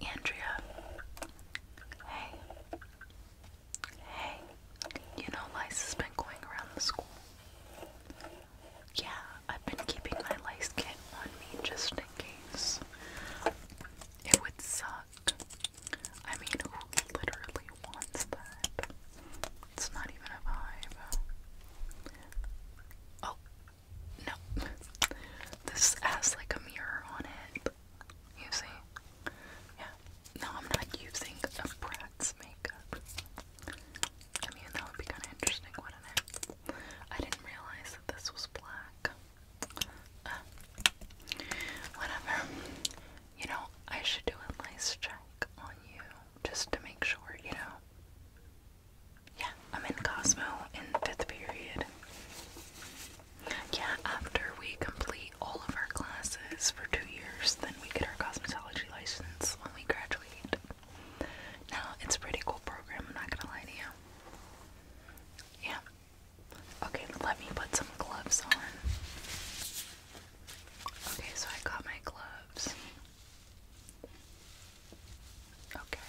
Andrea, hey, hey, you know lice has been going around the school. Yeah, I've been keeping my lice kit on me just in case. It would suck. I mean, who literally wants that? It's not even a vibe. Oh, no. This has like a mirror on it. You Yeah. No, I'm not using a Bratz makeup. I mean, that would be kind of interesting, wouldn't it? I didn't realize that this was black. Uh, whatever. You know, I should do a nice check on you just to make sure, you know. Yeah, I'm in Cosmo in fifth period. Yeah, after we complete all of our classes for two years, then we get our cosmetology license when we graduate. Now, it's a pretty cool program, I'm not gonna lie to you. Yeah. Okay, let me put some gloves on. Okay, so I got my gloves. Okay.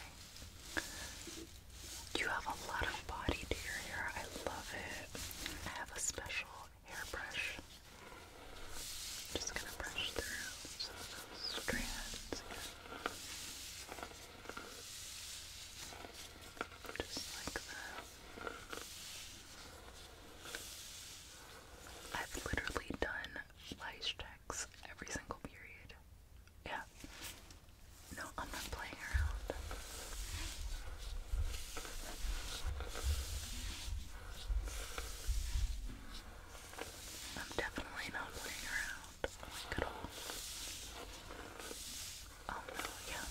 You have a lot of body to your hair. I love it. I have a special hairbrush. Just gonna brush through some those strands. Just like that. I've literally done lice checks every single period. Yeah. No, I'm not playing around. I'm definitely not playing around. Like at all. Oh no, yeah.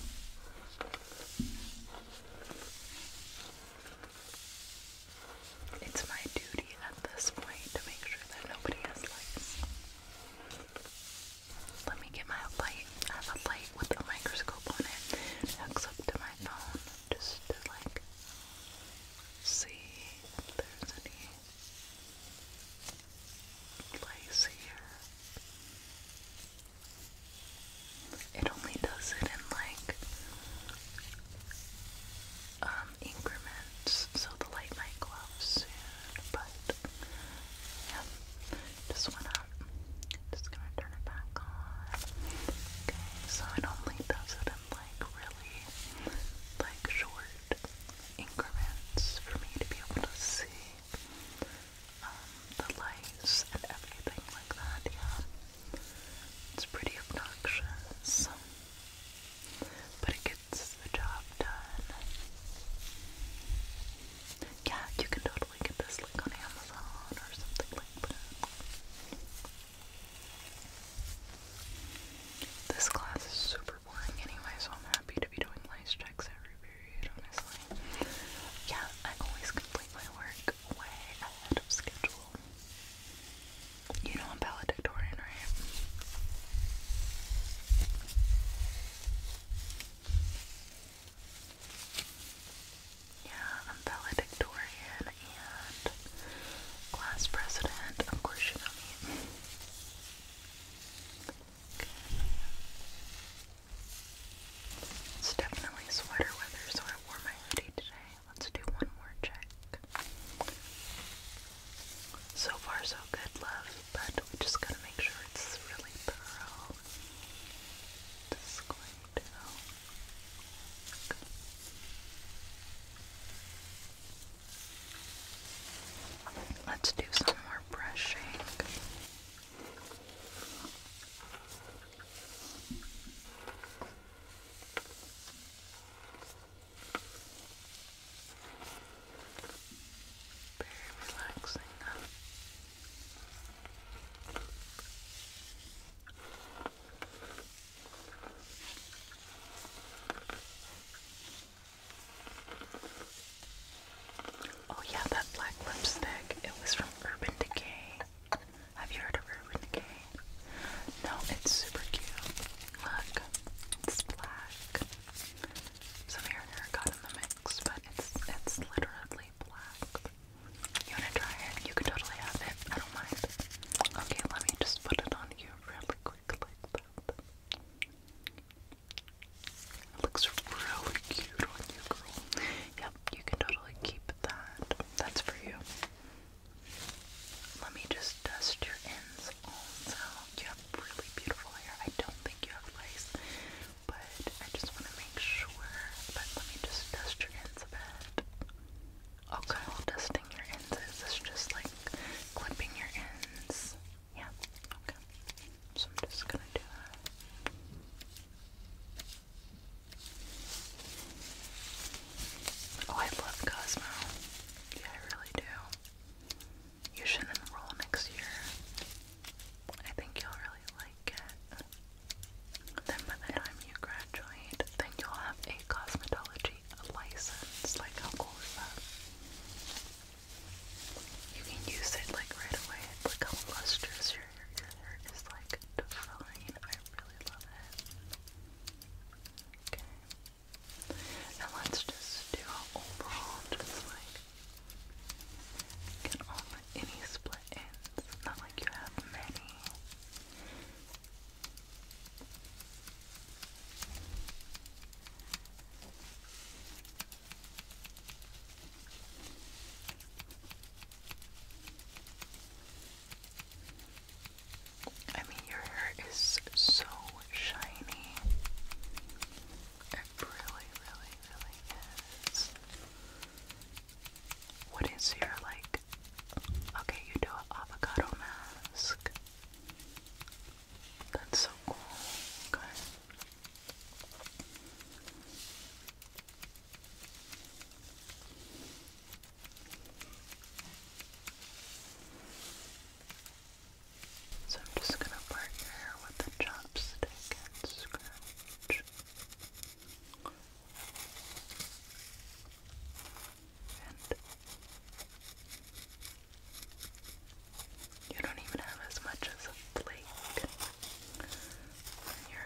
It's my duty at this point to make sure that nobody has lights. Let me get my light. I have a light with a microscope on it. hooks up to my phone just to like see if there's any lice here. It only does it in like um, increments, so the light might go out soon, but yeah, just went up. Just gonna turn it back on. Okay, so it only does it in like really like short increments for me to be able to see um, the lights and everything like that, yeah. It's pretty obnoxious, but it gives gets the job done. Yeah, you can totally get this like on Amazon or something like that. This class is super boring anyway, so I'm happy to be doing lice checks every period, honestly. Yeah, I always complete my work way ahead of schedule. You know I'm valedictorian, right? Yeah, I'm valedictorian and class president. Of course, you know me. It's definitely sweater weather, so I wore my hoodie today. Let's do one more check. So far, so good, love, but we just gotta make sure it's really thorough. Just going to. Let's do some more brushing. Oh yeah, that black lipstick. It was from Urban Decay. Have you heard of Urban Decay? No, it's super cute. Look, it's black. Some here and there got in the mix, but it's it's literally black. You wanna try it? You can totally have it. I don't mind. Okay, let me just put it on you really quick like that. It looks really cute on you, girl. Yep, you can totally keep that. That's for you. Let me just dust your ends also. You have really beautiful hair. I don't think you have lace, but I just want to make sure. But let me just dust your ends a bit. Okay, dusting your ends is just like clipping your ends. Yeah, okay. So I'm just gonna do that. Oh, I love Cosmo. Yeah, I really do. You should enroll next year. I think you'll really like it. Then by the time you graduate, then you'll have a cosmetology license. Like, how cool is that? You can use it like right away. Look how lustrous your your hair is like divine. I really love it. Okay. And let's just do an overall, just like get all any split ends. Not like you have many. I mean, your hair is so shiny. It really, really, really is. What is your, like, okay, you do an avocado mask. That's so cool. Okay. So I'm just going to part your hair with a chopstick and scratch. you don't even have as much as a flake in your hair.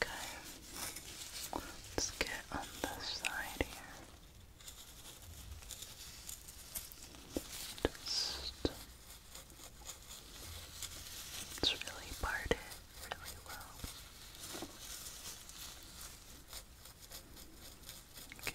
Okay, let's get on this side here. Just it's really parted really well. Okay.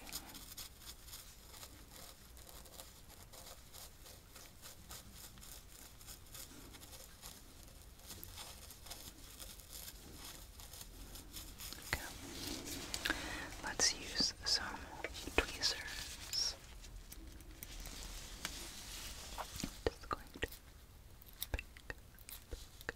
Okay. Let's use some tweezers. Just going to pick,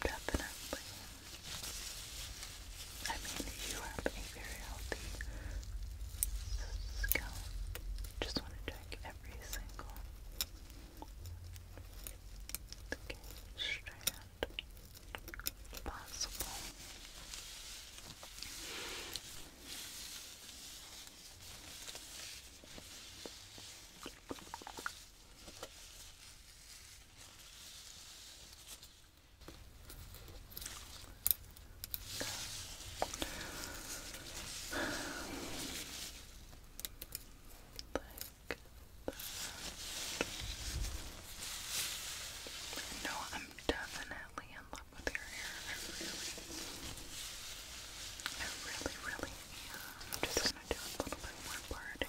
Definitely. I mean, you have a very healthy scalp. Just want to check every single strand possible. Like that. No, I'm definitely in love with your hair. I really, I really, really am. I'm just gonna do a little bit more parting.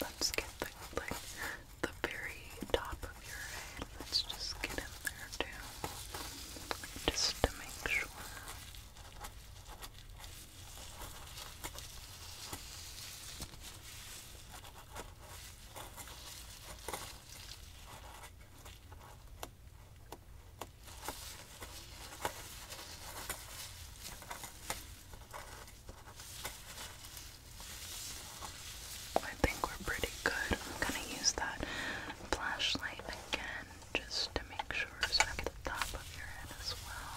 Let's get the like the very top of your head. Let's just get in there too. Just to make sure. I think we're pretty good. I'm gonna use that flashlight again just to make sure it's at the top of your head as well.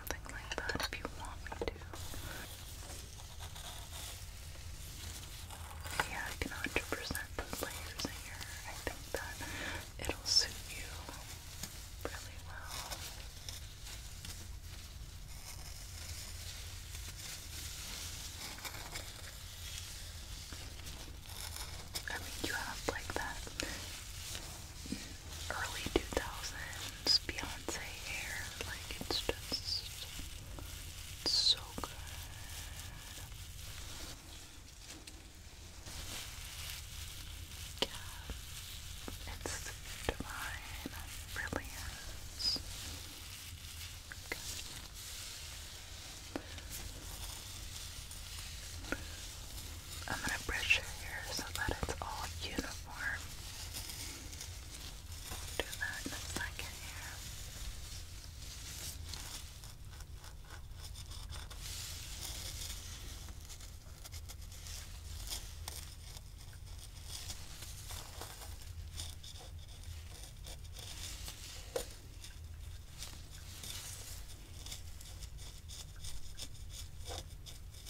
something like that if you want me to. Yeah, I can 100% put layers in here. I think that it'll suit you really well. I mean, you have like that early 2000s Beyonce hair. Like, it's just so good. Yeah, it's divine. It really I'm gonna brush your hair so that it's all uniform. Do that in a second here.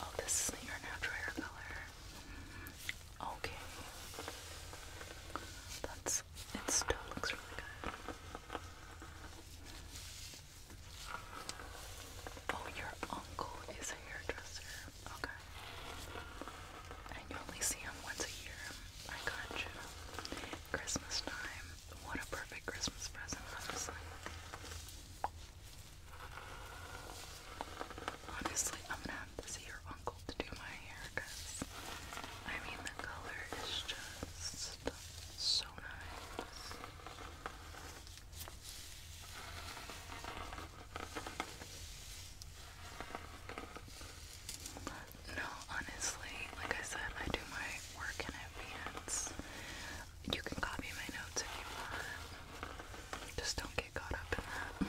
Oh, this isn't your natural color. Mm-hmm. Okay. That's it still looks really good. Oh, your uncle is a hairdresser. Okay. And you only see him once a year. I got you. Christmas time. What a perfect Christmas present, honestly. I'm gonna have to see your uncle to do my hair because I mean, the color is just so nice. No, honestly, like I said, I do my work in advance. You can copy my notes if you want. Just don't get caught up in that.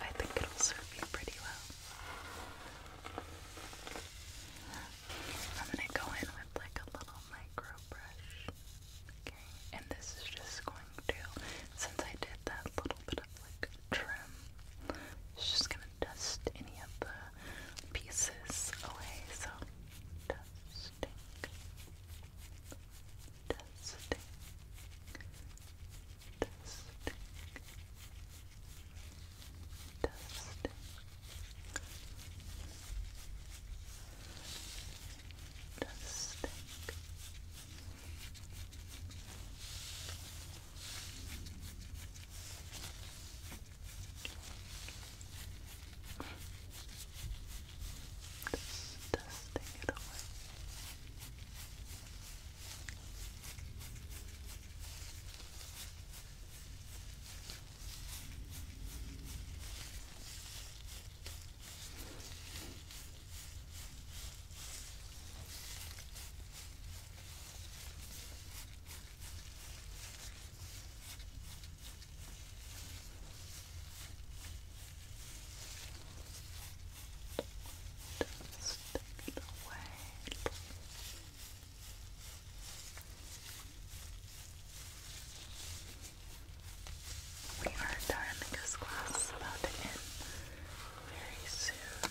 I think it'll serve you pretty well. I'm gonna go in with like a little micro brush. Okay, and this is just going to, since I did that little bit of like trim, it's just gonna dust any of the pieces away. So, dusting, dusting, dusting, dusting dusting. Just dusting it away. Just take it away. Just we are done because class about to end very soon.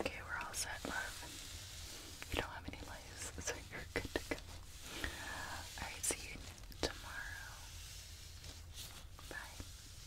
Okay, we're all set, love. You don't have any lice, so you're good to go. Alright, see you tomorrow. Bye.